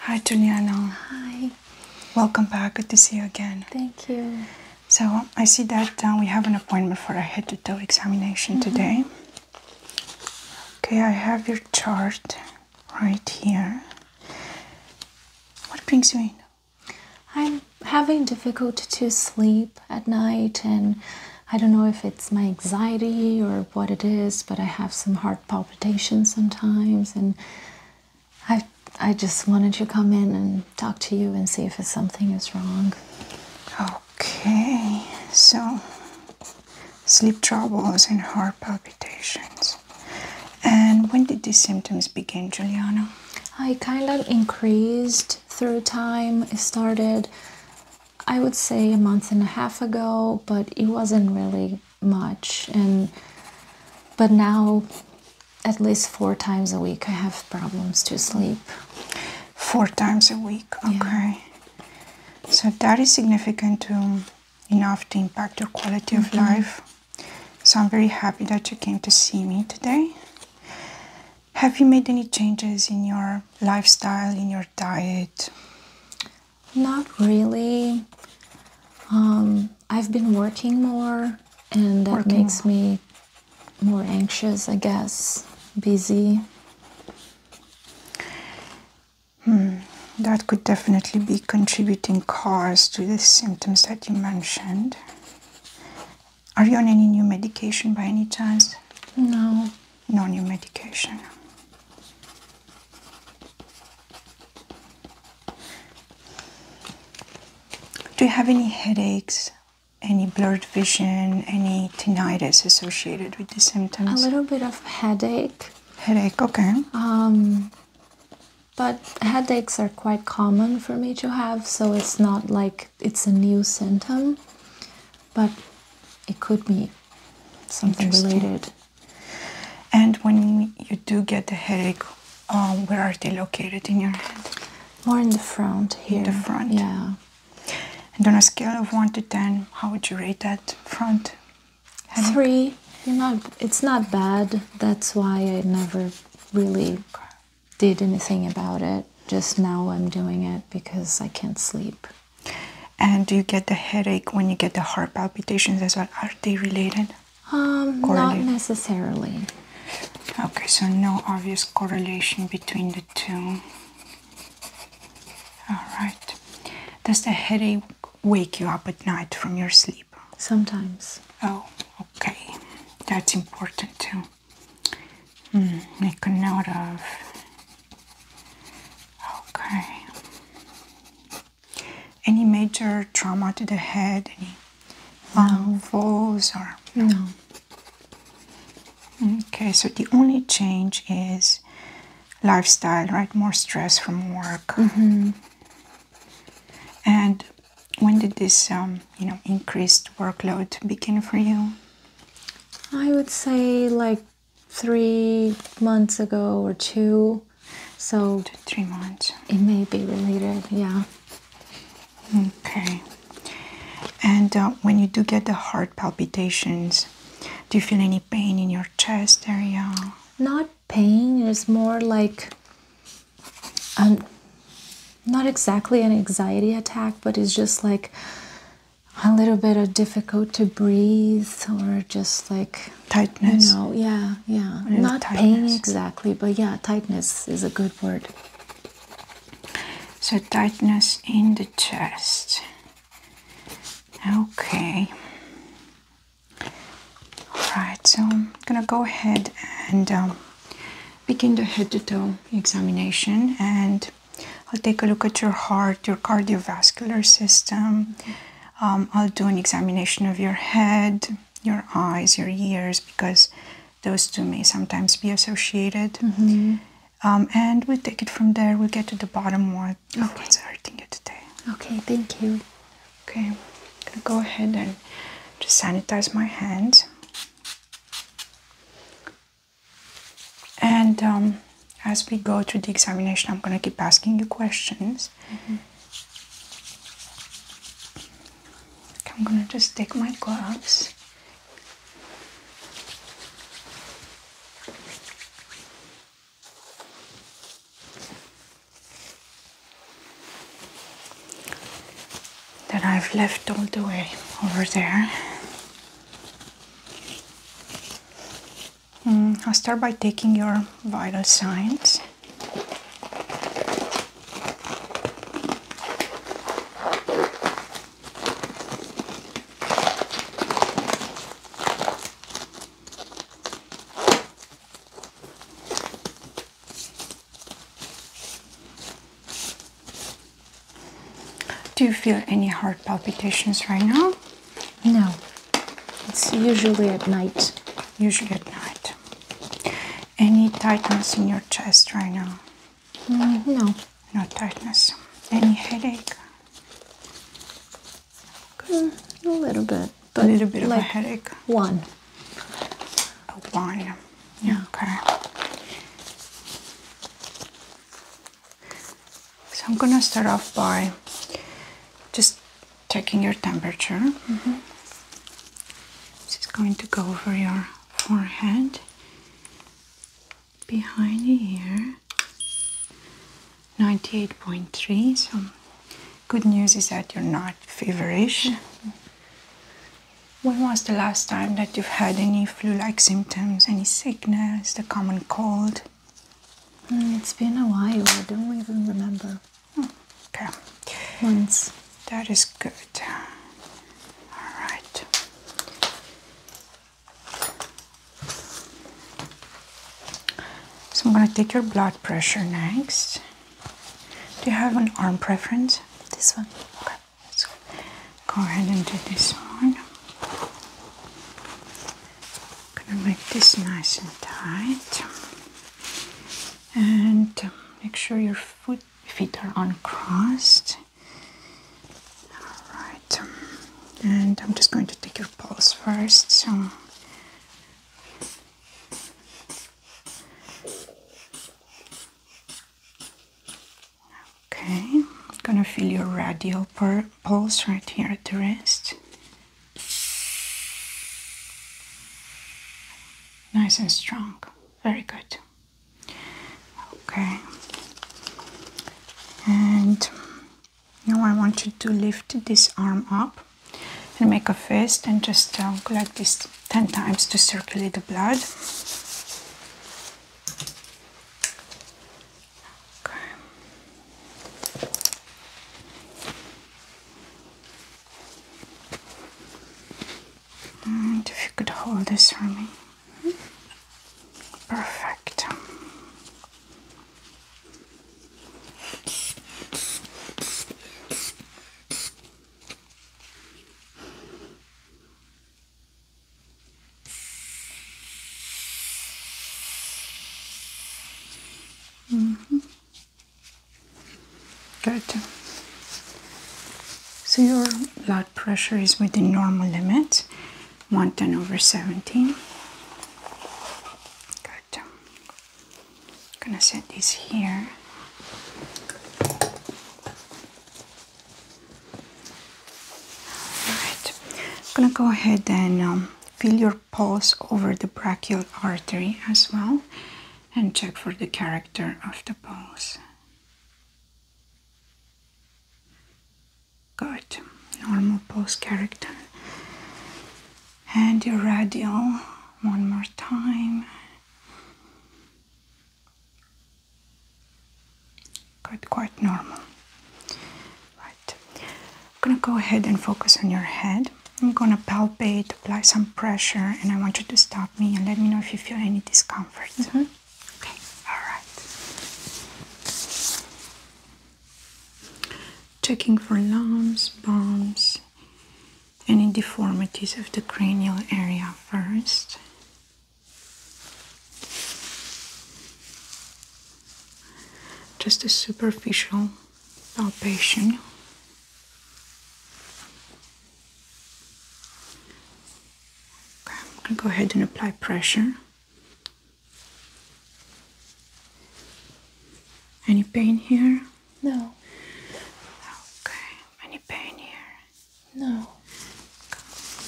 Hi, Juliana. Hi. Welcome back. Good to see you again. Thank you. So, I see that uh, we have an appointment for a head to toe examination mm-hmm. today. Okay, I have your chart right here. What brings you in? I'm having difficulty to sleep at night, and I don't know if it's my anxiety or what it is, but I have some heart palpitations sometimes, and I I just wanted to come in and talk to you and see if something is wrong. Okay, so sleep troubles and heart palpitations. And when did these symptoms begin, Juliana? I kind of increased through time. It started, I would say, a month and a half ago, but it wasn't really much and but now at least four times a week I have problems to sleep. Four times a week, okay. So that is significant to enough to impact your quality of mm-hmm. life. So very happy that you came to see me today. Have you made any changes in your lifestyle, in your diet? Not really. Um, I've been working more, and that makes me more anxious, I guess. Busy. Hmm. That could definitely be contributing cause to the symptoms that you mentioned. Are you on any new medication by any chance? No. No new medication. Do you have any headaches, any blurred vision, any tinnitus associated with the symptoms? A little bit of headache. Headache, okay. Um, but headaches are quite common for me to have, so it's not like it's a new symptom, but it could be something related. And when you do get a headache, um, where are they located in your head? More in the front here. In the front. Yeah. And on a scale of one to ten, how would you rate that front? Three. You're not. It's not bad. That's why I never really did anything about it. Just now I'm doing it because I can't sleep. And do you get the headache when you get the heart palpitations as well? Are they related? Um, not necessarily. Okay, so no obvious correlation between the two. All right. Does the headache wake you up at night from your sleep? Sometimes. Oh, okay. That's important too. Hmm, make a note of. Okay. Any major trauma to the head? Any falls or no? Okay, so the only change is lifestyle, right? More stress from work. Mm-hmm. And when did this, um, you know, increased workload begin for you? I would say like three months ago or two. So three months. It may be related, yeah. Okay. And uh, when you do get the heart palpitations, do you feel any pain in your chest area? Not pain. It's more like um, not exactly an anxiety attack, but it's just like a little bit of difficult to breathe or just like tightness. No, yeah, yeah. Not pain exactly, but yeah, tightness is a good word. So tightness in the chest. Okay. Alright, so I'm gonna go ahead and um, begin the head to toe examination and I'll take a look at your heart, your cardiovascular system, um, I'll do an examination of your head, your eyes, your ears, because those two may sometimes be associated. Mm-hmm. Um, and we take it from there. we get to the bottom what, okay. what's hurting you today. Okay, thank you. Okay, I'm gonna go ahead and just sanitize my hands. And um, as we go through the examination, I'm gonna keep asking you questions. I'm gonna just take my gloves. That I've left all the way over there. Mm, I'll start by taking your vital signs. Do you feel any heart palpitations right now? No, it's usually at night. Usually at night. Any tightness in your chest right now? Mm, no. No tightness. Any headache? Mm, a little bit. But a little bit of a headache. One. A one. Yeah. Okay. So I'm gonna start off by just checking your temperature. Mm-hmm. This is going to go over your forehead, behind your ear. 98.3. So, good news is that you're not feverish. When was the last time that you've had any flu like symptoms, any sickness, the common cold? Hmm, it's been a while. I don't even remember. Hmm, okay. Once. That is good. All right. So I'm going to take your blood pressure next. Do you have an arm preference? This one. Okay. Let's go ahead and do this one. I'm gonna make this nice and tight. And um, make sure your foot feet are uncrossed. Alright. Um, and I'm just going to take your pulse first. Okay, I'm gonna feel your radial part pulse right here at the wrist. Nice and strong. Very good. Okay. And now I want you to lift this arm up and make a fist and just uh, collect this 10 times to circulate the blood. Mm, if you could hold this for me. Perfect. Mm -hmm. Good. So your blood pressure is within normal limits, 110 over 17. Good. I'm gonna set this here. All right. I'm gonna go ahead and um, feel your pulse over the brachial artery as well and check for the character of the pulse. Good, normal pulse character. And your radial one more time. Good, quite normal. I'm gonna go ahead and focus on your head. I'm gonna palpate, apply some pressure, and I want you to stop me and let me know if you feel any discomfort. Mm-hmm. Okay, alright. Checking for lumps, bumps, any deformities of the cranial area first. Just a superficial palpation. Okay, I'm gonna go ahead and apply pressure. Any pain here? No. Okay. Any pain here? No.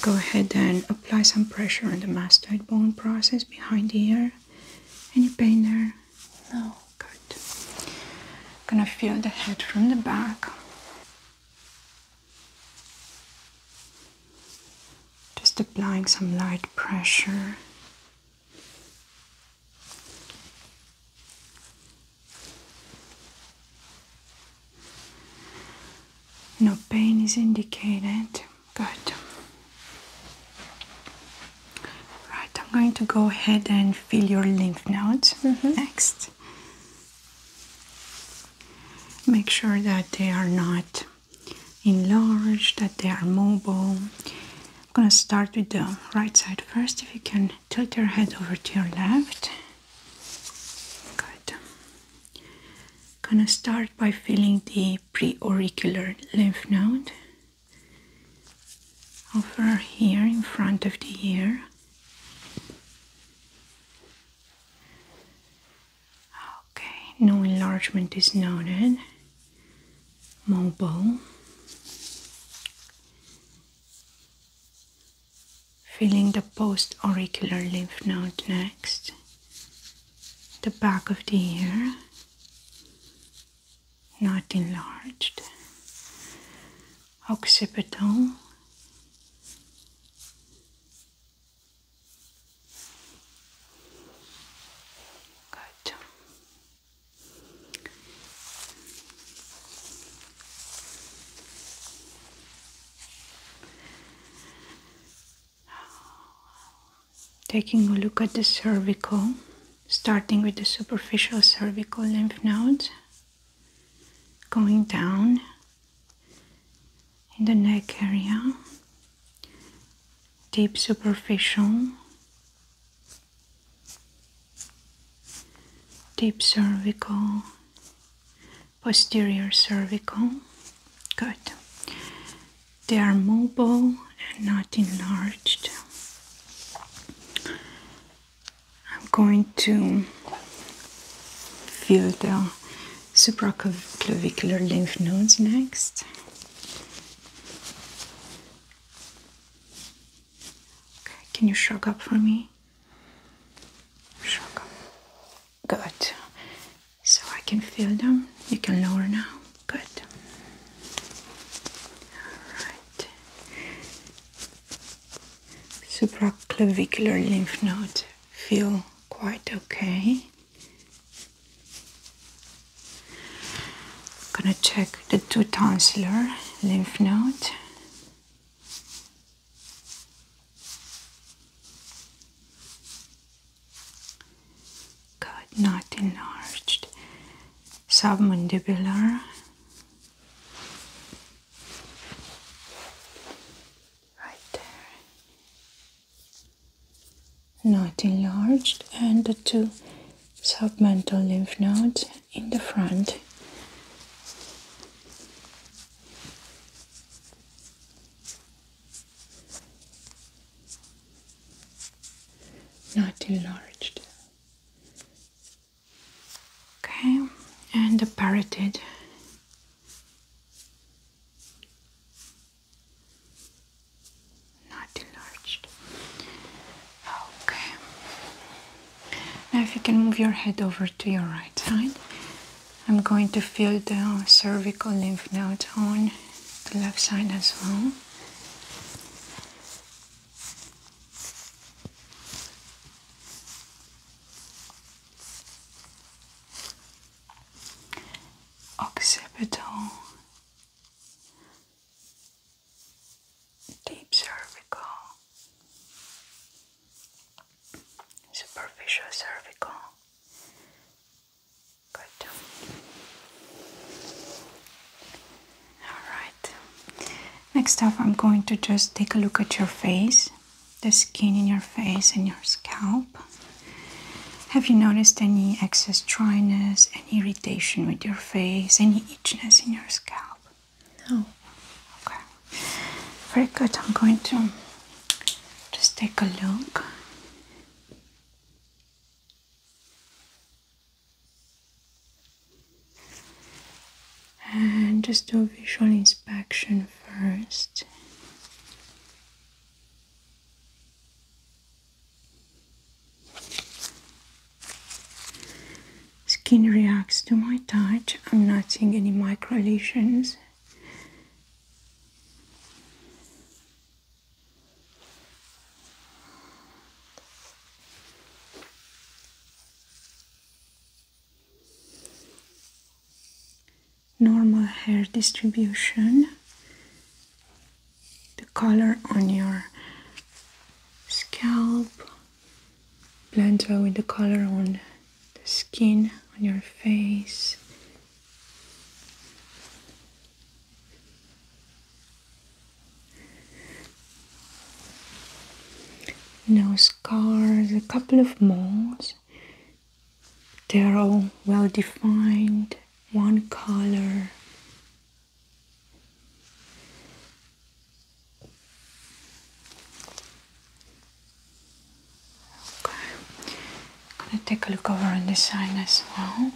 Go ahead and apply some pressure on the mastoid bone process behind the ear. Any pain there? No, good. i gonna feel the head from the back. Just applying some light pressure. No pain is indicated. Good. Right, I'm going to go ahead and feel your lymph nodes mm-hmm. next. Make sure that they are not enlarged, that they are mobile. I'm going to start with the right side first. If you can tilt your head over to your left. Good. I'm going to start by feeling the preauricular lymph node over here in front of the ear. Okay, no enlargement is noted. Mobile. Feeling the post auricular lymph node next, the back of the ear not enlarged. Occipital Good. Taking a look at the cervical, starting with the superficial cervical lymph nodes, going down in the neck area, deep superficial, deep cervical, posterior cervical. Good. They are mobile and not enlarged. I'm going to feel the supraclavicular lymph nodes next. Okay, can you shrug up for me? Shrug up. Good. So I can feel them. You can lower now. Good. Alright. Supraclavicular lymph node feel quite okay. gonna check the two tonsillar lymph node. Good, not enlarged. Submandibular. Right there. Not enlarged, and the two submental lymph nodes in the front not enlarged. Okay, and the parotid. Not enlarged. Okay. Now, if you can move your head over to your right side, I'm going to feel the cervical lymph nodes on the left side as well. Occipital, deep cervical, superficial cervical, Good. Alright. Next up, I'm going to just take a look at your face, the skin in your face and your scalp. Have you noticed any excess dryness, any irritation with your face, any itchiness in your scalp? No. Okay. Very good. I'm going to just take a look. And just do a visual inspection first. Skin reacts to my touch. I'm not seeing any micro lesions normal hair distribution the color on your scalp blends well with the color on the skin on your face no scars, a couple of moles. They're all well defined, one color. Okay. I'm gonna take a look over on this side as well.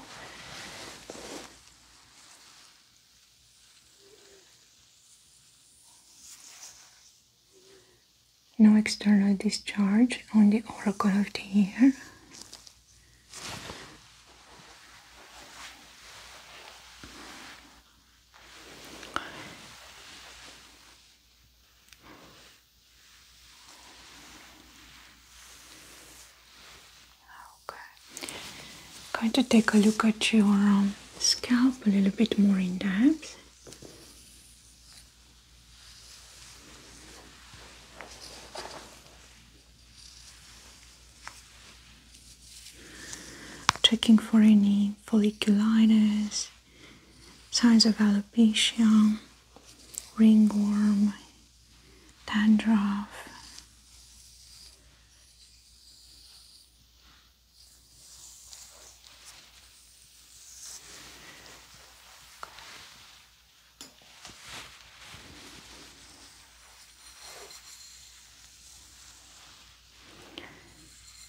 No external discharge on the oracle here. Okay. I'm going to take a look at your um, scalp a little bit more in depth. Checking for any folliculitis, signs of alopecia, ringworm, dandruff.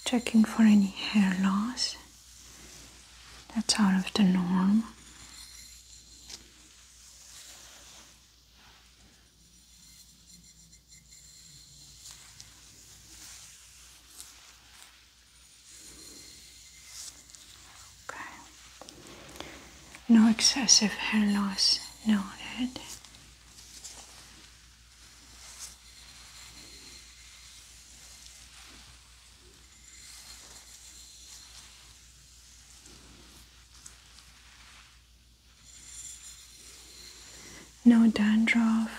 Checking for any hair loss that's out of the norm. Okay. No excessive hair loss noted. No dandruff.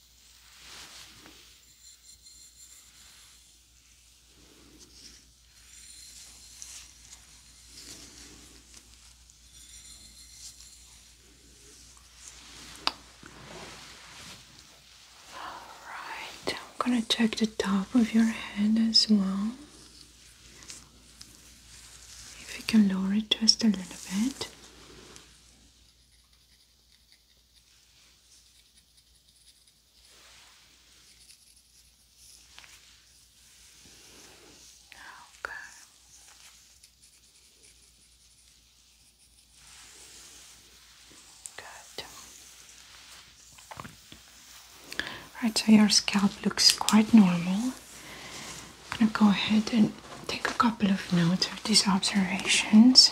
Alright, I'm gonna check the top of your head as well. If you can lower it just a little bit. Okay. Good. Right, so your scalp looks quite normal. I'm gonna go ahead and take a couple of notes of these observations.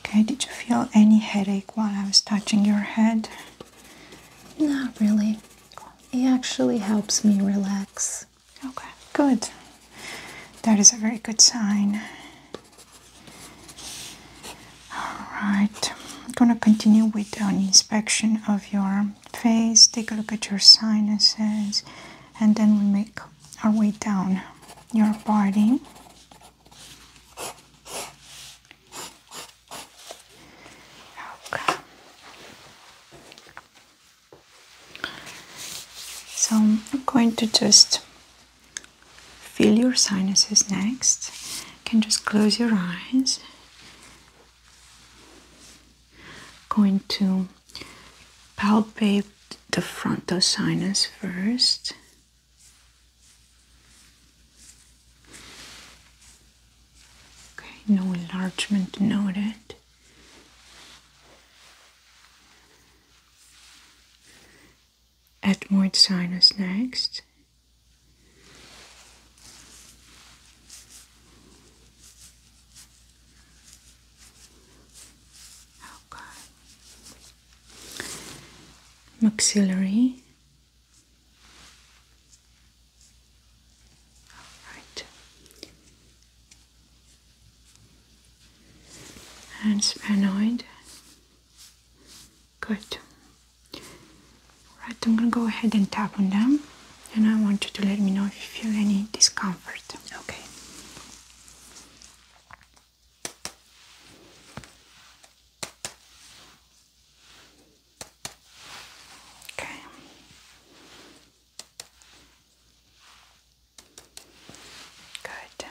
Okay, did you feel any headache while I was touching your head? Not really. It actually helps me relax. Okay, good. That is a very good sign. All right, I'm gonna continue with an inspection of your face, take a look at your sinuses, and then we make our way down your body. Okay. So I'm going to just feel your sinuses next. can just close your eyes. Going to palpate the frontal sinus first. Okay, no enlargement noted. Etmoid sinus next. Maxillary. All right. And sphenoid. Good. All right, I'm gonna go ahead and tap on them and I want you to let me know if you feel any discomfort. Okay. Okay. Good.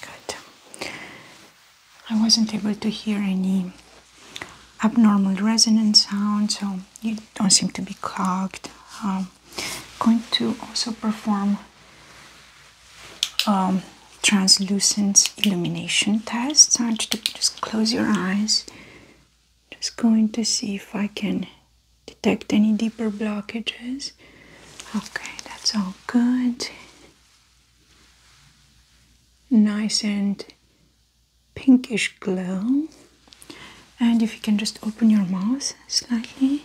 Good. I wasn't able to hear any abnormal resonant sound, so you don't seem to be clogged. Um, going to also perform um, translucent illumination tests. I want you to just close your eyes just going to see if I can detect any deeper blockages. Okay, that's all good. Nice and pinkish glow. And if you can just open your mouth slightly.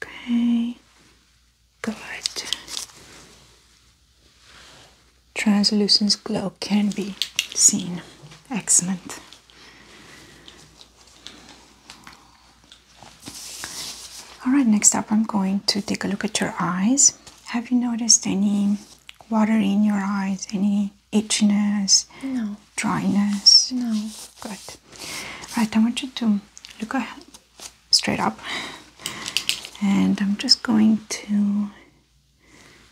Okay, good translucent glow can be seen. Excellent. Alright, next up I'm going to take a look at your eyes. Have you noticed any water in your eyes? Any itchiness? No. Dryness? No. Good. Right, I want you to look straight up and I'm just going to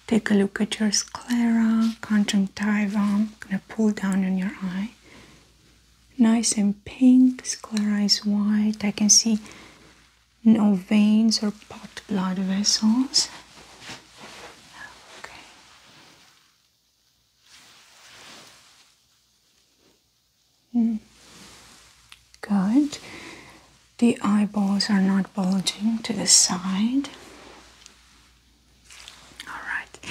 Take a look at your sclera, conjunctiva. I'm gonna pull down on your eye. Nice and pink, sclera is white. I can see no veins or pot blood vessels. Okay. Mm. Good the eyeballs are not bulging to the side. All right,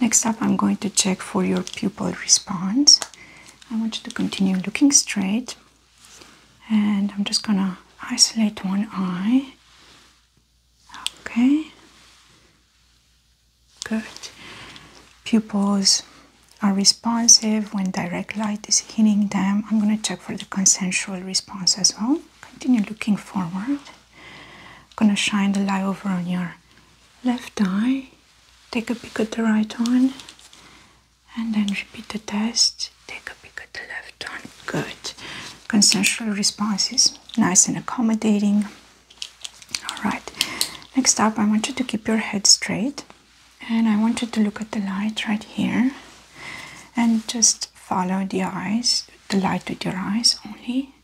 next up, I'm going to check for your pupil response. I want you to continue looking straight, and I'm just gonna isolate one eye. Okay, good. Pupils are responsive when direct light is hitting them. I'm gonna check for the consensual response as well continue looking forward. gonna shine the light over on your left eye. Take a peek at the right one and then repeat the test. Take a peek at the left one. Good. Consensual responses, nice and accommodating. All right. Next up, I want you to keep your head straight and I want you to look at the light right here and just follow the eyes, the light with your eyes only.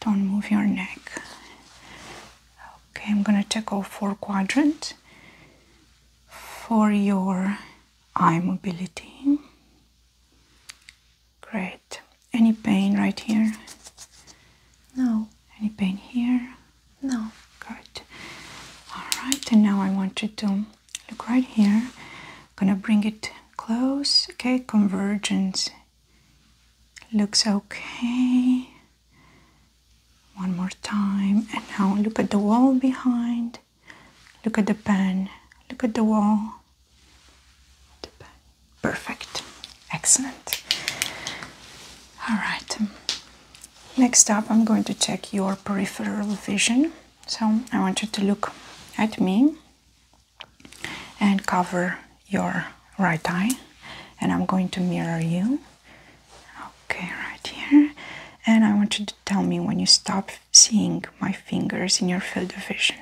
Don't move your neck. Okay, I'm gonna take all four quadrants for your eye mobility. Great. Any pain right here? No. Any pain here? No. Good. All right, and now I want you to look right here. Gonna bring it close. Okay, convergence looks okay. One more time. And now look at the wall behind. Look at the pen. Look at the wall. The pen. Perfect. Excellent. All right. Next up, I'm going to check your peripheral vision. So I want you to look at me and cover your right eye and I'm going to mirror you. Okay, right here. And I want you to tell me when you stop seeing my fingers in your field of vision.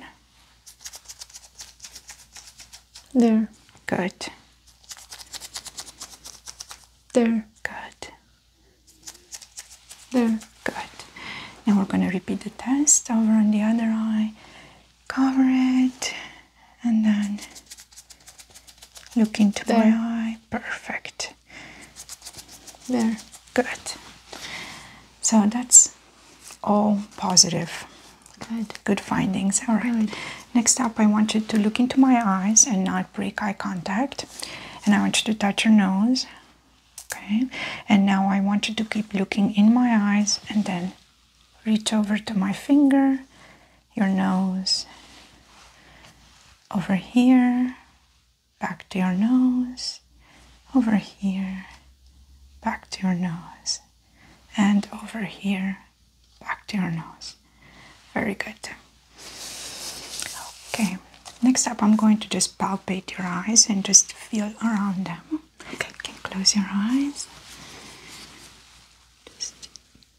There. Good. There. Good. There, good. Now we're going to repeat the test over on the other eye. Cover it and then look into my eye. Perfect. There, good. So that's all positive. Good. Good findings. All right. Next up, I want you to look into my eyes and not break eye contact. And I want you to touch your nose Okay, and now I want you to keep looking in my eyes and then reach over to my finger, your nose, over here, back to your nose, over here, back to your nose, and over here, back to your nose. Very good. Okay, next up I'm going to just palpate your eyes and just feel around them. Okay, can close your eyes. Just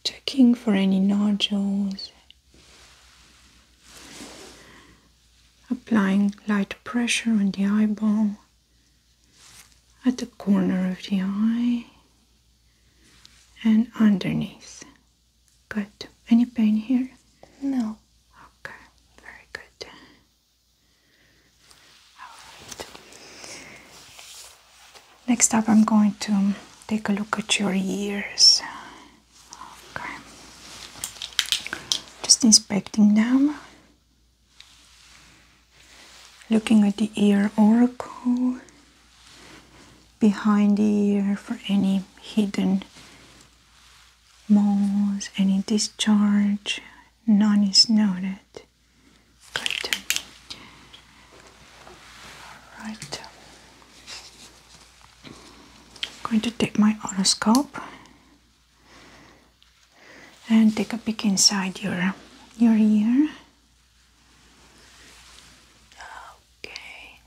checking for any nodules. Applying light pressure on the eyeball at the corner of the eye and underneath. Good. Any pain here? No. Okay, very good. Alright. Next up, I'm going to take a look at your ears. Okay. Just inspecting them. Looking at the ear oracle behind the ear for any hidden moles, any discharge, none is noted. All right. I'm going to take my otoscope and take a peek inside your your ear. Okay.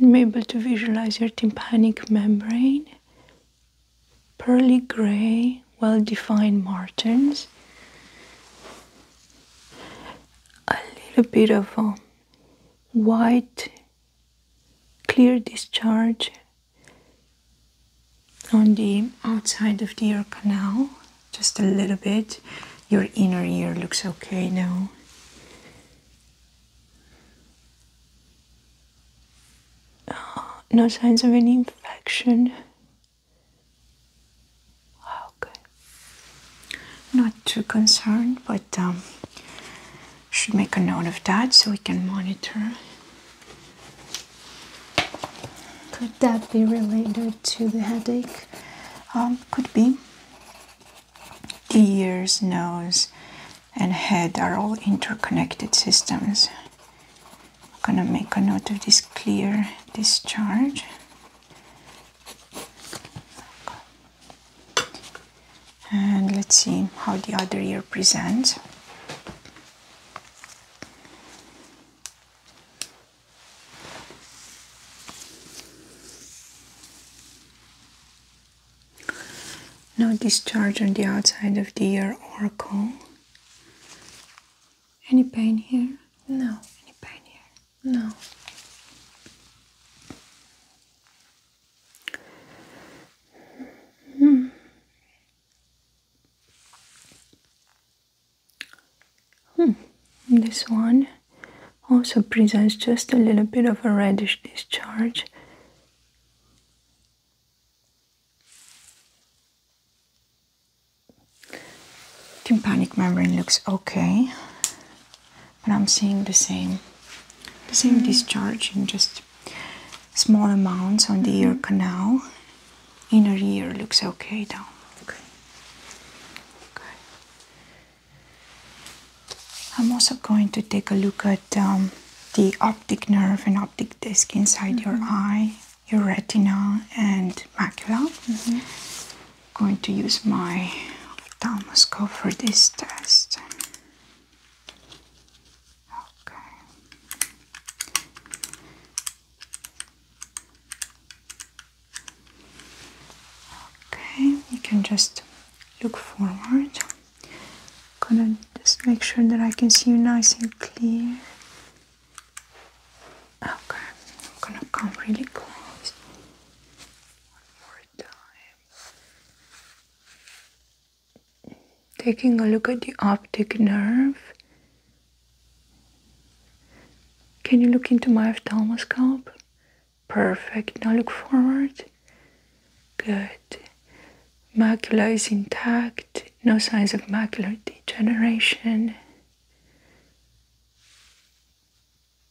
I'm able to visualize your tympanic membrane, pearly gray, well defined margins, a little bit of um, white, clear discharge on the outside of the ear canal just a little bit. Your inner ear looks okay now. no signs of any infection. Oh, Not too concerned, but um, should make a note of that so we can monitor that be related to the headache? Um, could be. Ears, nose, and head are all interconnected systems. I'm gonna make a note of this clear discharge. And let's see how the other ear presents. No discharge on the outside of the ear or cowl. Any pain here? No. Any pain here? No. Hmm. Hmm. This one also presents just a little bit of a reddish discharge. Tympanic membrane looks okay, but I'm seeing the same, the same hmm. discharge in just small amounts on the ear hmm. canal inner ear looks okay though. Okay. Okay. I'm also going to take a look at um, the optic nerve and optic disc inside your mm-hmm. eye, your retina, and macula. I'm mm-hmm. going to use my ophthalmoscope for this test. Okay. Okay, you can just look forward. Gonna just make sure that I can see you nice and clear. Okay, I'm gonna come really close. One more time. Taking a look at the optic nerve. Can you look into my ophthalmoscope? Perfect. Now look forward. Good. Macula is intact. No signs of macular degeneration.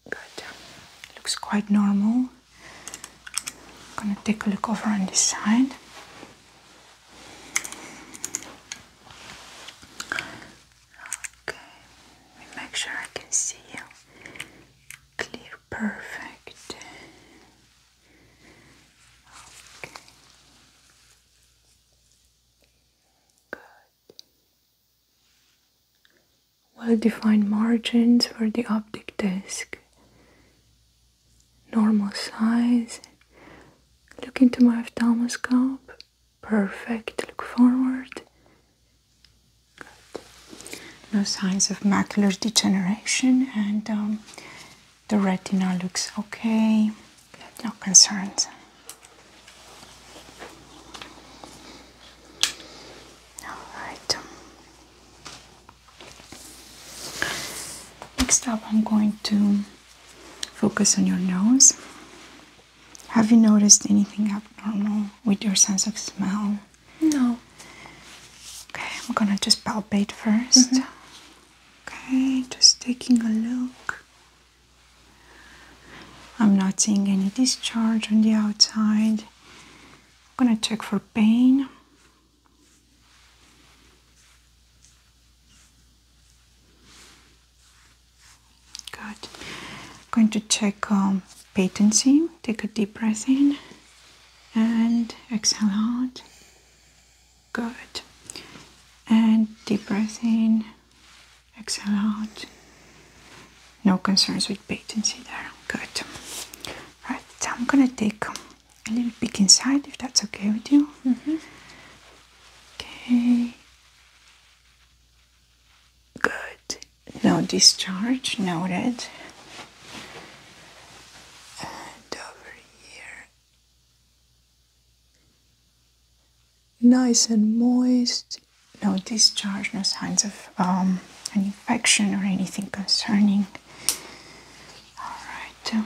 Good. Looks quite normal. I'm gonna take a look over on this side. Okay, make sure I can see you. Clear, perfect. Okay. Good. Well defined margins for the optic disc. Normal size. Look into my ophthalmoscope. Perfect. Look forward. Good. No signs of macular degeneration, and um, the retina looks okay. No concerns. All right. Next up, I'm going to focus on your nose. Have you noticed anything abnormal with your sense of smell? No. Okay, I'm gonna just palpate first. Mm-hmm. Okay, just taking a look. I'm not seeing any discharge on the outside. I'm gonna check for pain. Good. I'm going to check patency. Take a deep breath in and exhale out. Good. And deep breath in, exhale out. No concerns with patency there. Good. Right, so I'm gonna take a little peek inside if that's okay with you. Mm-hmm. Okay. Good. No discharge noted. And over here. Nice and moist. No discharge, no signs of um, an infection or anything concerning. All right.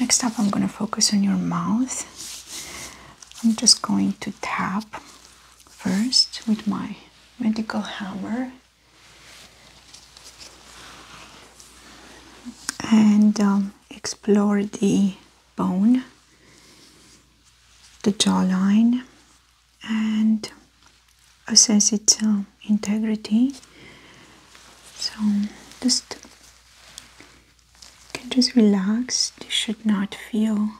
Next up, I'm going to focus on your mouth. I'm just going to tap first with my medical hammer. And um, explore the bone, the jawline, and assess its um, integrity. So, just you can just relax. This should not feel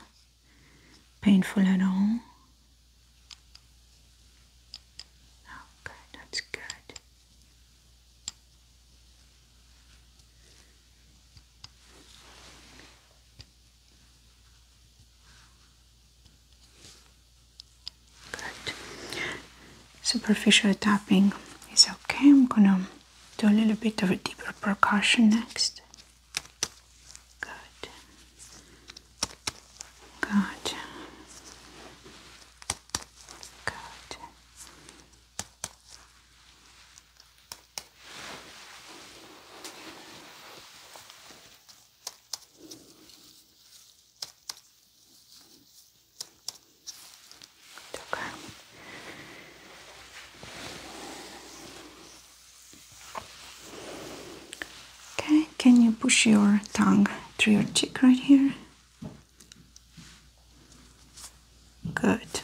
painful at all. Okay, that's good. Good superficial tapping is okay. I'm gonna do a little bit of a deeper percussion next. Good. Good. Good. Okay. Okay, can you push your tongue through your cheek right here? Good.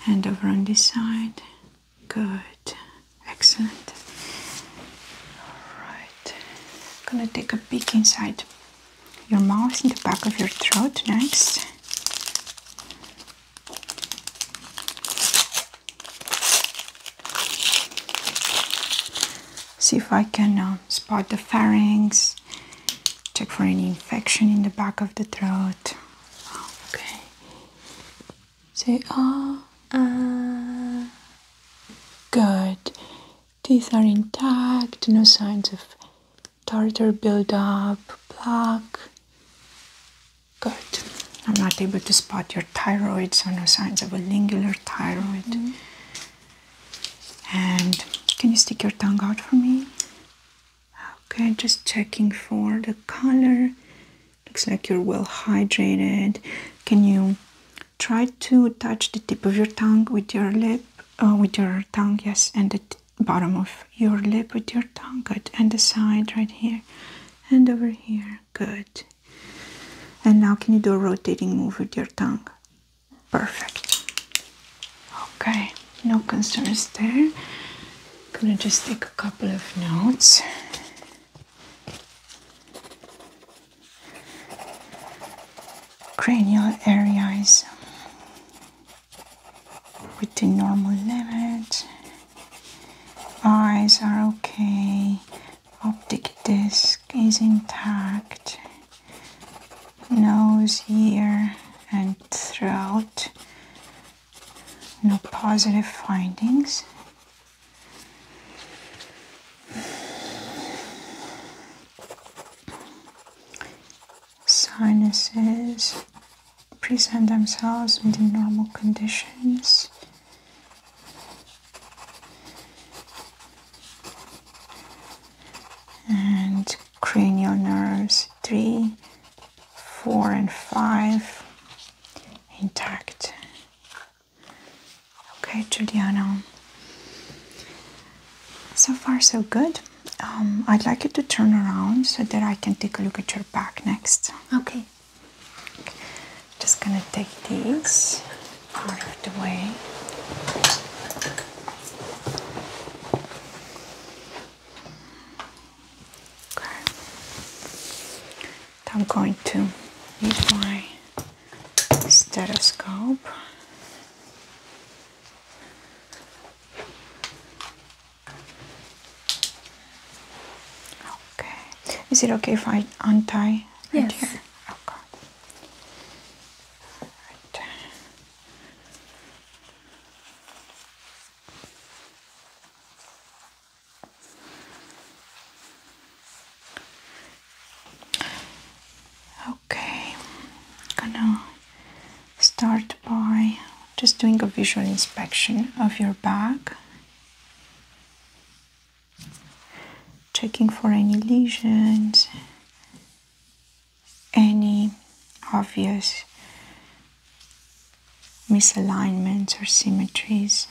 Hand over on this side. Good. Excellent. Alright. Gonna take a peek inside your mouth in the back of your throat. Next, See if I can um, spot the pharynx. Check for any infection in the back of the throat. Okay. Say ah. Oh, uh, good. Teeth are intact. No signs of tartar buildup, plaque. Good. I'm not able to spot your thyroid, so no signs of a lingular thyroid. Mm-hmm. And can you stick your tongue out for me? Okay, just checking for the color. Looks like you're well hydrated. Can you try to touch the tip of your tongue with your lip uh, with your tongue, yes, and the bottom of your lip with your tongue, good, and the side right here, and over here, good. And now, can you do a rotating move with your tongue? Perfect. Okay, no concerns there. I'm Gonna just take a couple of notes. Cranial areas. With the normal limit. Eyes are okay. Optic disc is intact. Nose, ear, and throat. No positive findings sinuses present themselves within normal conditions. And cranial nerves 3, 4, and 5 intact. Okay, Juliana. So far, so good. Um, I'd like you to turn around so that I can take a look at your back next. Okay. Just gonna take these out of the way. Okay. I'm going to use my stethoscope Okay. Is it okay if I untie right yes. here? Okay. Okay, gonna start by just doing a visual inspection of your bag, checking for any lesions, any obvious misalignments or symmetries.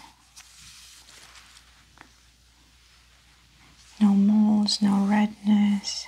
No moles, no redness.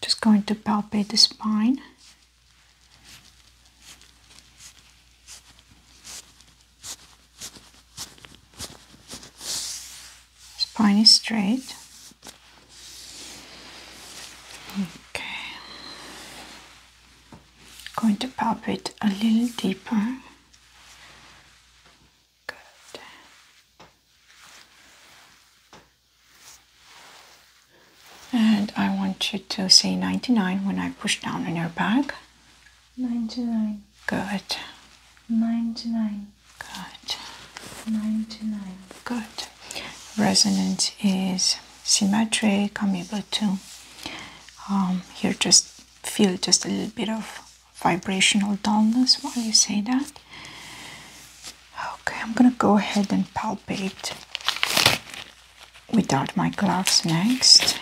Just going to palpate the spine. Spine is straight. Okay going to pop it a little deeper. Good. And I want you to say 99 when I push down on your back. 99. Good. 99. Good. 99. Good. Resonance is symmetric. I'm able to um, here just feel just a little bit of vibrational dullness while you say that okay i'm gonna go ahead and palpate without my gloves next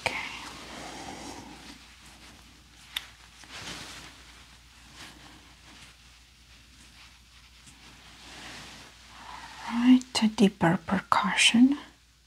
Okay. All right, a deeper percussion.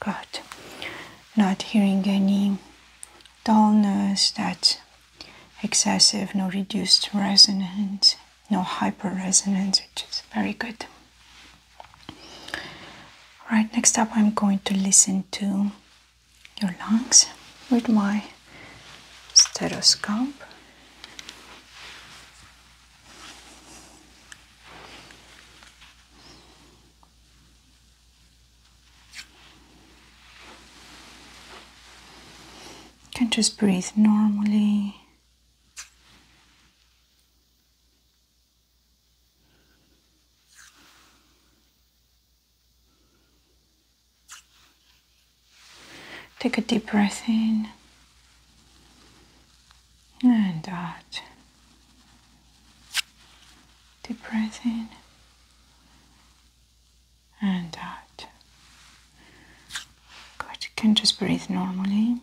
Good. Not hearing any dullness, that excessive, no reduced resonance, no hyper resonance, which is very good. Right, next up, I'm going to listen to your lungs with my stethoscope. You can just breathe normally. Take a deep breath in and out. Deep breath in and out. Good, you can just breathe normally.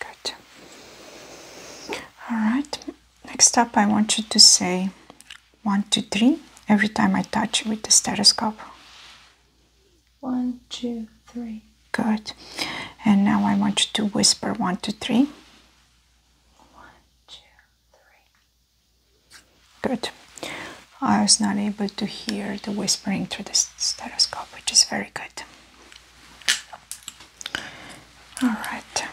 Good. All right. Next up, I want you to say one, two, three every time I touch with the stethoscope. One, two, three. Good. And now I want you to whisper one, two, three. One, two, three. Good. I was not able to hear the whispering through the stethoscope, which is very good. All right.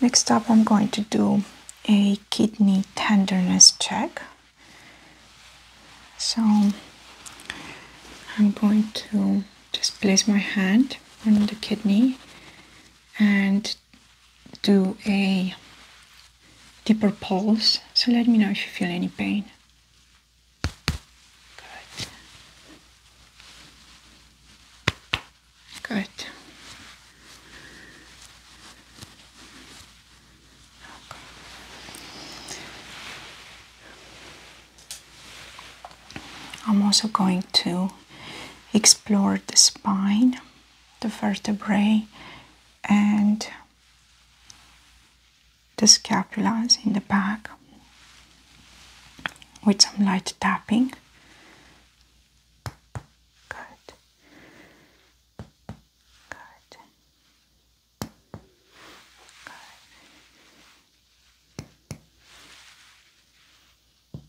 Next up, I'm going to do a kidney tenderness check. So I'm going to just place my hand on the kidney and do a deeper pulse. So let me know if you feel any pain. Good. Good. I'm also going to explore the spine the vertebrae and the scapulas in the back with some light tapping. Good. Good. Good.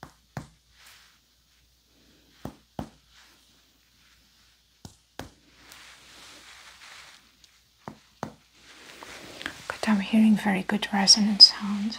But I'm hearing very good resonance sound.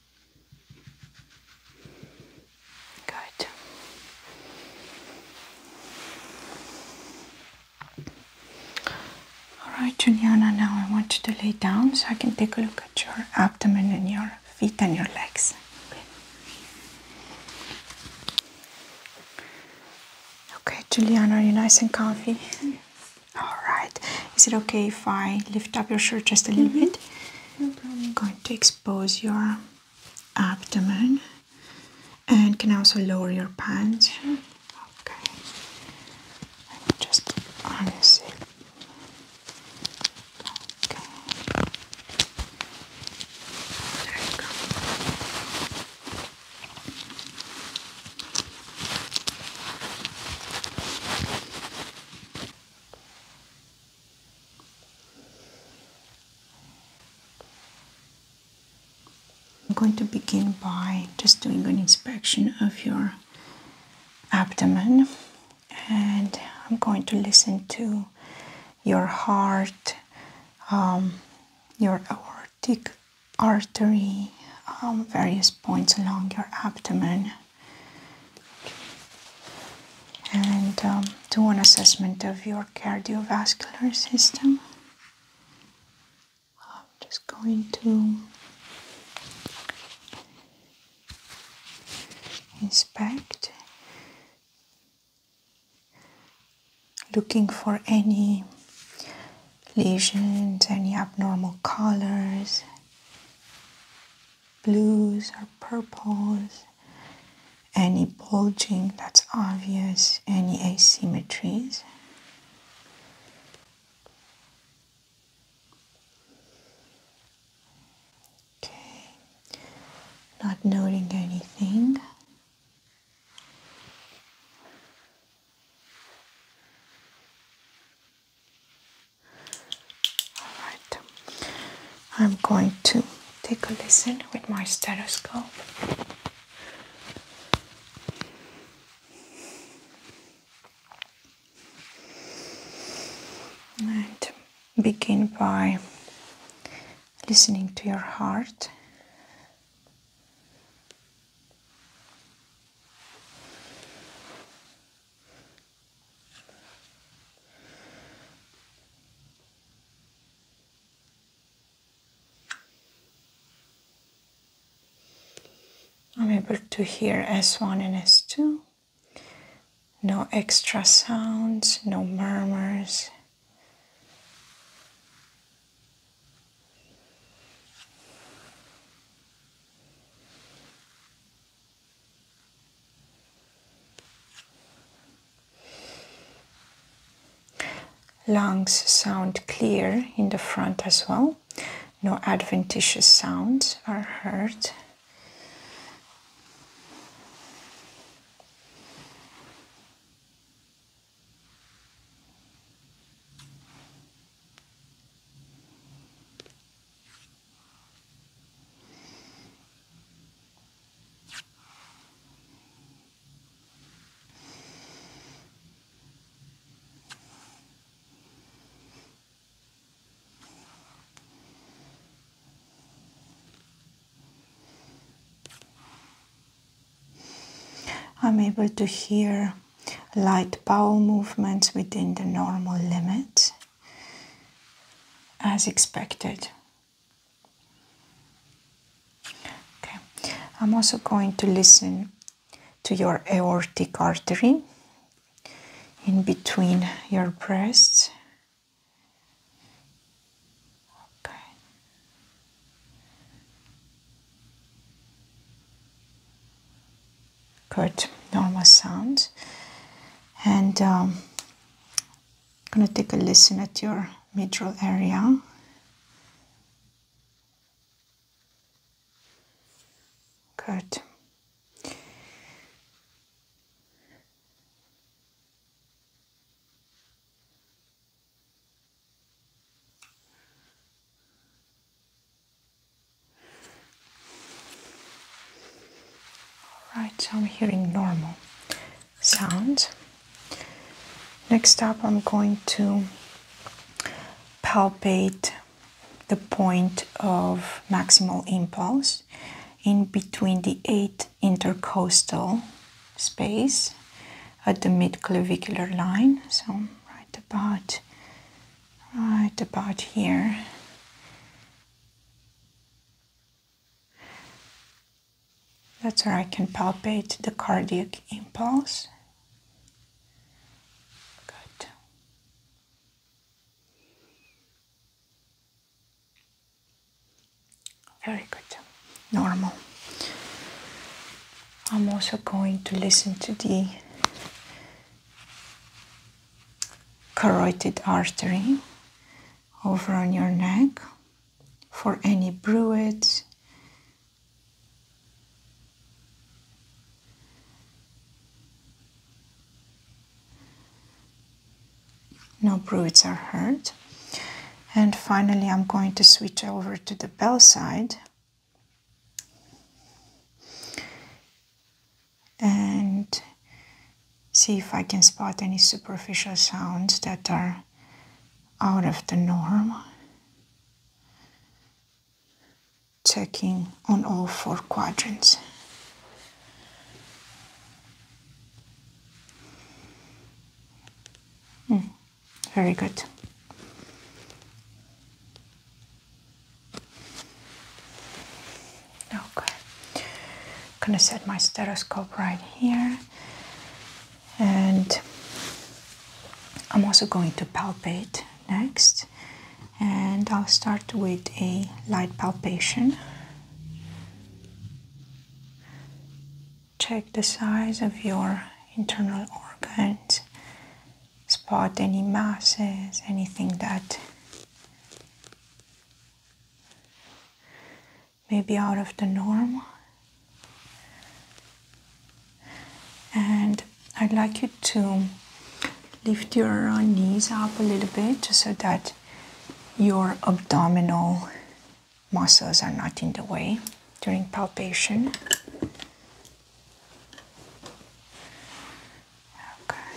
Good. Alright, Juliana, now I want you to lay down so I can take a look at your abdomen and your feet and your legs. Okay, okay Juliana, are you nice and comfy? Alright. Is it okay if I lift up your shirt just a little mm-hmm. bit? No problem. I'm going to expose your abdomen and can also lower your pants. Okay, let me just harness Okay, there you go. I'm going to begin by just doing an inspection of your abdomen and I'm going to listen to your heart, um, your aortic artery, um, various points along your abdomen and um, do an assessment of your cardiovascular system. I'm just going to inspect, looking for any lesions, any abnormal colors blues or purples, any bulging that's obvious, any asymmetries. Okay, not noting anything. Alright, I'm going to take a listen with my stethoscope. And begin by listening to your heart. I'm able to hear S1 and S2. No extra sounds, no murmurs. Lungs sound clear in the front as well. No adventitious sounds are heard. I'm able to hear light bowel movements within the normal limits as expected. Okay, I'm also going to listen to your aortic artery in between your breasts. Okay. Good, normal sound. And um, I'm going to take a listen at your mitral area. Good. Alright, so I'm hearing normal sounds. Next up, I'm going to palpate the point of maximal impulse in between the eighth intercostal space at the midclavicular line. So right about, right about here. That's where I can palpate the cardiac impulse. Good. Very good. Normal. I'm also going to listen to the carotid artery over on your neck for any bruits. no bruits are heard and finally I'm going to switch over to the bell side and see if I can spot any superficial sounds that are out of the norm. Checking on all four quadrants. Hmm, very good. Okay. I'm gonna set my stethoscope right here, and I'm also going to palpate next, and I'll start with a light palpation. Check the size of your internal organs, spot any masses, anything that maybe out of the norm. And I'd like you to lift your knees up a little bit just so that your abdominal muscles are not in the way during palpation. Okay.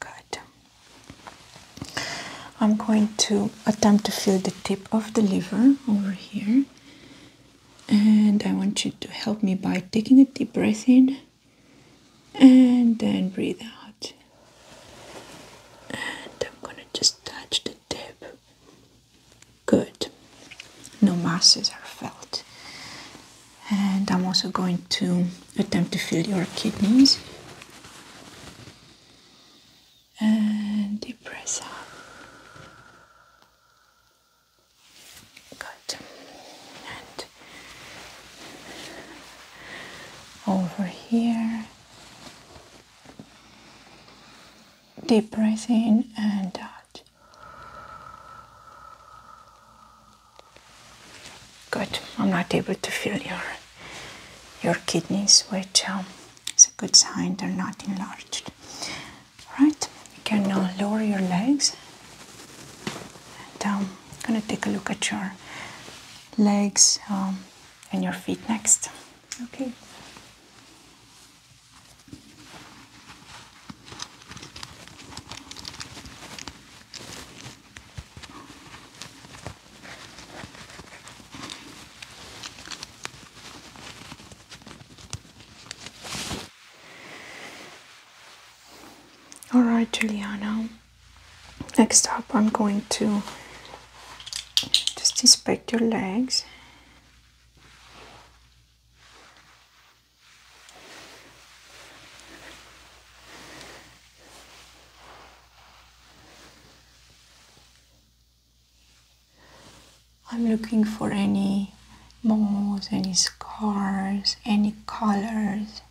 Good. I'm going to attempt to feel the tip of the liver over here, and I want you to help me by taking a deep breath in and then breathe out and I'm gonna just touch the tip good no masses are felt and I'm also going to attempt to feel your kidneys and depress up. good and over here, deep breath in and out. Good. I'm not able to feel your your kidneys, which um, is a good sign they're not enlarged. All right. You can now lower your legs um, I'm gonna take a look at your legs um, and your feet next. Okay. All right, Juliana next up I'm going to just inspect your legs I'm looking for any moles, any scars, any colors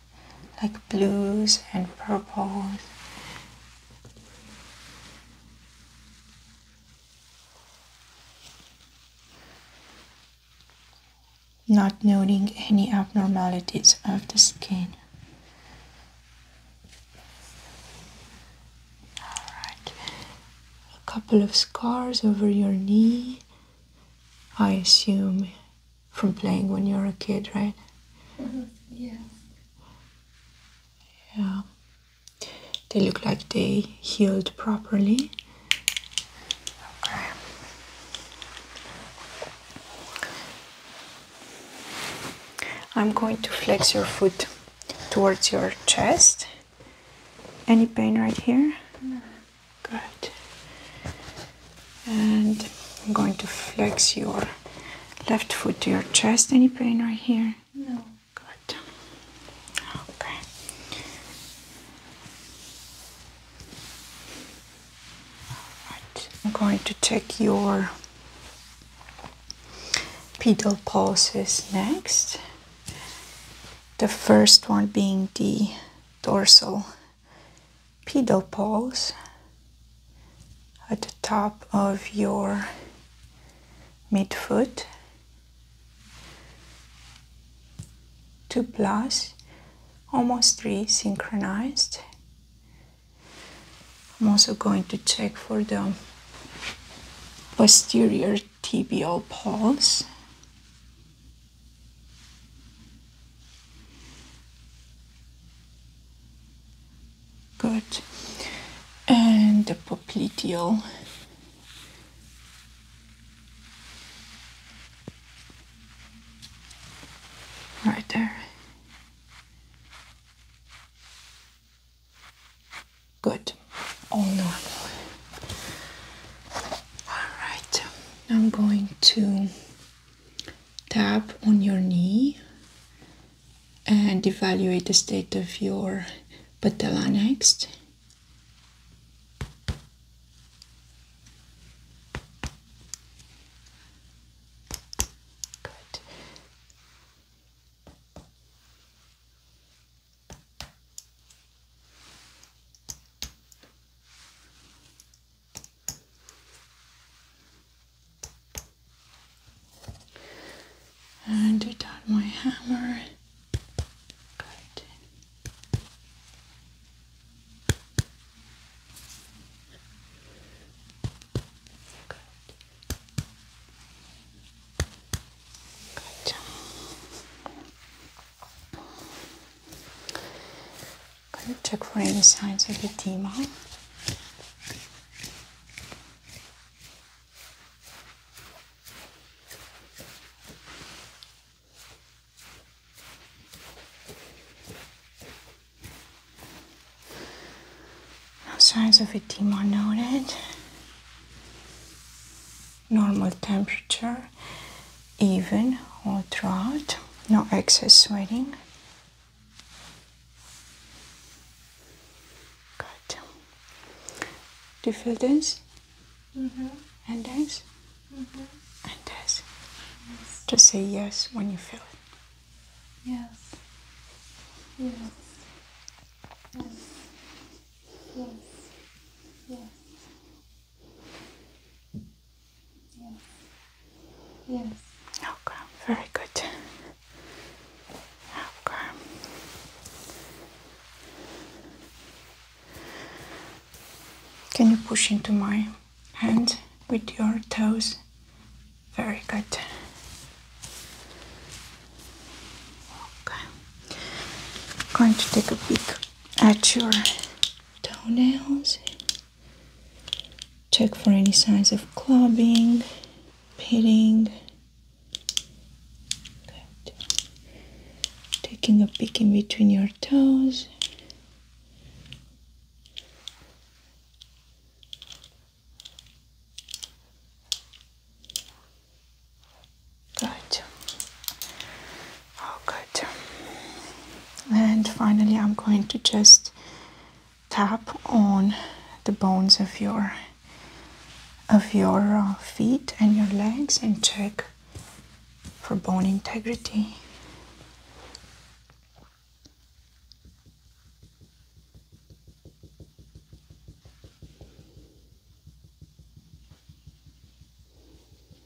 like blues and purples. Not noting any abnormalities of the skin. Alright, a couple of scars over your knee. I assume from playing when you're a kid, right? Mm-hmm. yeah. Yeah. They look like they healed properly. I'm going to flex your foot towards your chest. Any pain right here? Good. And I'm going to flex your left foot to your chest. Any pain right here? No. Good. Okay. Alright. I'm going to check your pedal pulses next. The first one being the dorsal pedal pose at the top of your midfoot two plus almost three synchronized I'm also going to check for the posterior tibial pulse Good. And the popliteal. Right there. Good. All normal. All right. I'm going to Tap on your knee and evaluate the state of your patella next. And I dot my hammer. Good. Good. Good. Can you check for any signs of edema? No signs of edema noted. Normal temperature even or throughout, no excess sweating. Good. Do you feel this? Mm -hmm. And this? -hmm. And this. Yes. Just say yes when you feel it. Yes. Yes. Yes. Yes. Yes. Yes. Yes. Okay, very good. Okay. Can you push into my hand with your toes? Very good. Okay. I'm going to take a peek at your toenails. Check for any signs of clubbing, pitting. Taking a peek in between your toes. Good. Oh, good. And finally, I'm going to just tap on the bones of your of your uh, feet and your legs and check for bone integrity.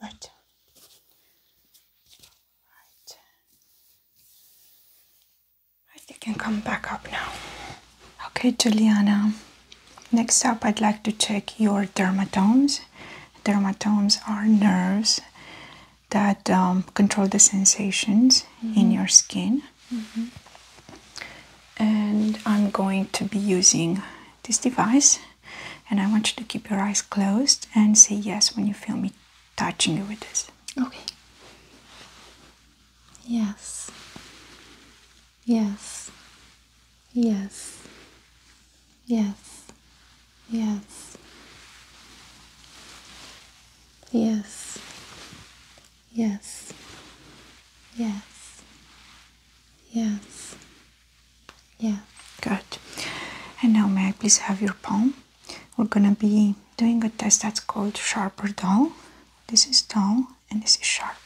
Good. Right. Right, you can come back up now. Okay, Juliana. Next up, I'd like to check your dermatomes. Dermatomes are nerves that um, control the sensations in mm-hmm. your skin. Mm-hmm. And I'm going to be using this device and I want you to keep your eyes closed and say yes when you feel me touching you with this. Okay. Yes. Yes. Yes. Yes. Yes. Yes. Yes. Yes. Yeah, good. And now, may I please have your palm? We're gonna be doing a test that's called sharp or dull. This is dull and this is sharp.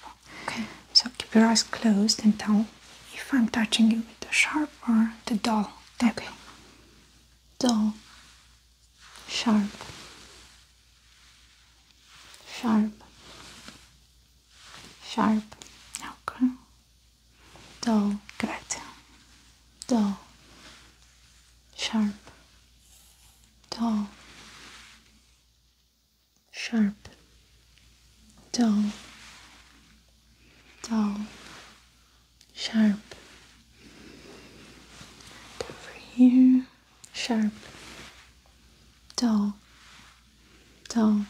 Okay, so keep your eyes closed and tell if I'm touching you with the sharp or the dull. Okay, dull, sharp, sharp, sharp, okay, dull, good, dull, sharp, dull, sharp, dull, dull, sharp, over here, sharp, dull, dull,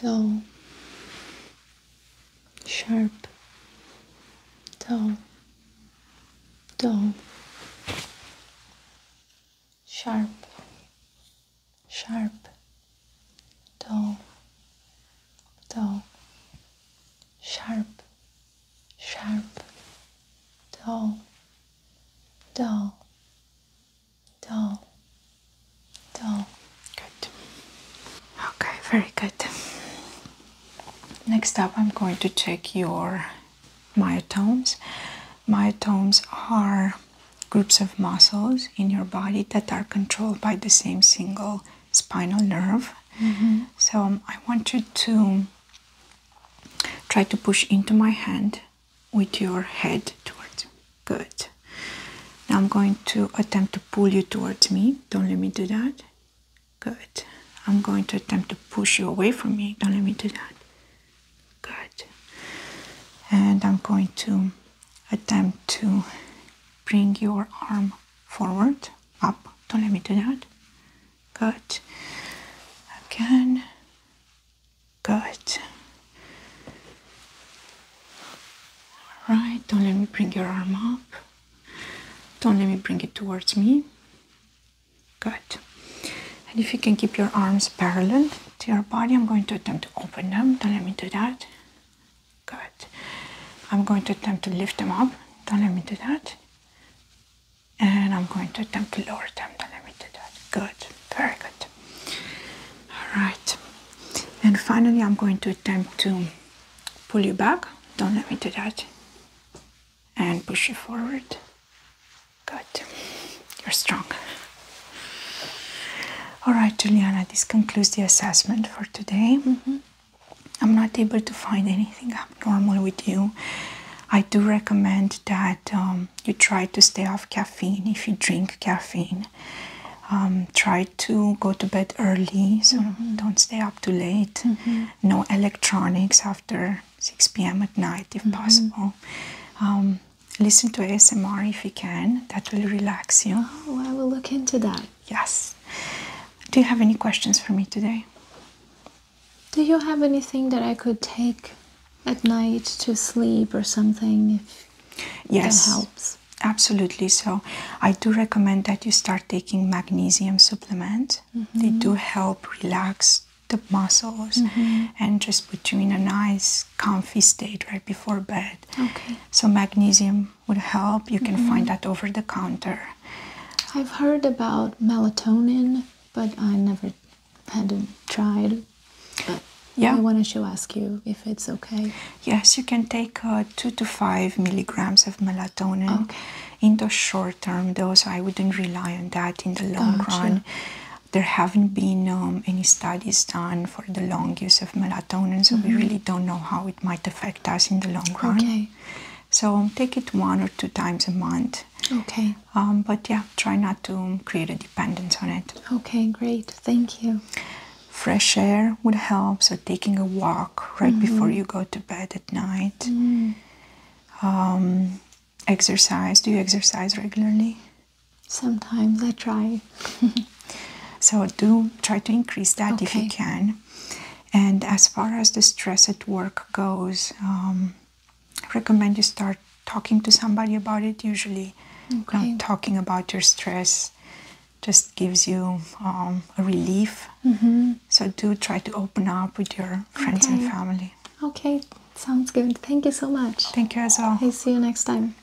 dull, sharp, dull, dull, sharp, sharp, dull, dull, sharp, sharp, dull, dull, Dull. Dull. Good. Okay, very good. Next up, I'm going to check your myotomes. Myotomes are groups of muscles in your body that are controlled by the same single spinal nerve. Mm-hmm. So um, I want you to try to push into my hand with your head towards Good. Now I'm going to attempt to pull you towards me. Don't let me do that. Good. I'm going to attempt to push you away from me. Don't let me do that. Good. And I'm going to attempt to bring your arm forward, up. Don't let me do that. Good. Again. Good. All right, don't let me bring your arm up. Don't let me bring it towards me. Good. And if you can keep your arms parallel to your body, I'm going to attempt to open them. Don't let me do that. Good. I'm going to attempt to lift them up. Don't let me do that. And I'm going to attempt to lower them. Don't let me do that. Good. Very good. All right. And finally, I'm going to attempt to pull you back. Don't let me do that. And push you forward. Good. You're strong. All right, Juliana, this concludes the assessment for today. Mm-hmm. I'm not able to find anything abnormal with you. I do recommend that um, you try to stay off caffeine if you drink caffeine. Um, try to go to bed early, so mm-hmm. don't stay up too late. Mm-hmm. No electronics after 6 p.m. at night, if mm-hmm. possible. Um, listen to ASMR if you can, that will relax you. Oh, I will look into that. Yes. Do you have any questions for me today? Do you have anything that I could take at night to sleep or something if yes that helps absolutely so i do recommend that you start taking magnesium supplement they do mm-hmm. help relax the muscles mm-hmm. and just put you in a nice comfy state right before bed okay so magnesium would help you can find mm-hmm. that over the counter i've heard about melatonin but i never hadn't tried. But yeah. I wanted to ask you if it's okay. Yes, you can take uh, two to five milligrams of melatonin oh. in the short term though, so I wouldn't rely on that in the long run. There haven't been um, any studies done for the long use of melatonin, so we mm-hmm. really don't know how it might affect us in the long run. Okay. So take it one or two times a month. Okay. Um, but yeah, try not to create a dependence on it. Okay, great. Thank you. Fresh air would help, so taking a walk right mm-hmm. before you go to bed at night. Mm. Um, exercise. Do you exercise regularly? Sometimes I try. so do try to increase that if you can. And as far as the stress at work goes, um, recommend you start talking to somebody about it usually talking about your stress just gives you um, a relief mm-hmm. so do try to open up with your friends and family okay sounds good thank you so much thank you as well i see you next time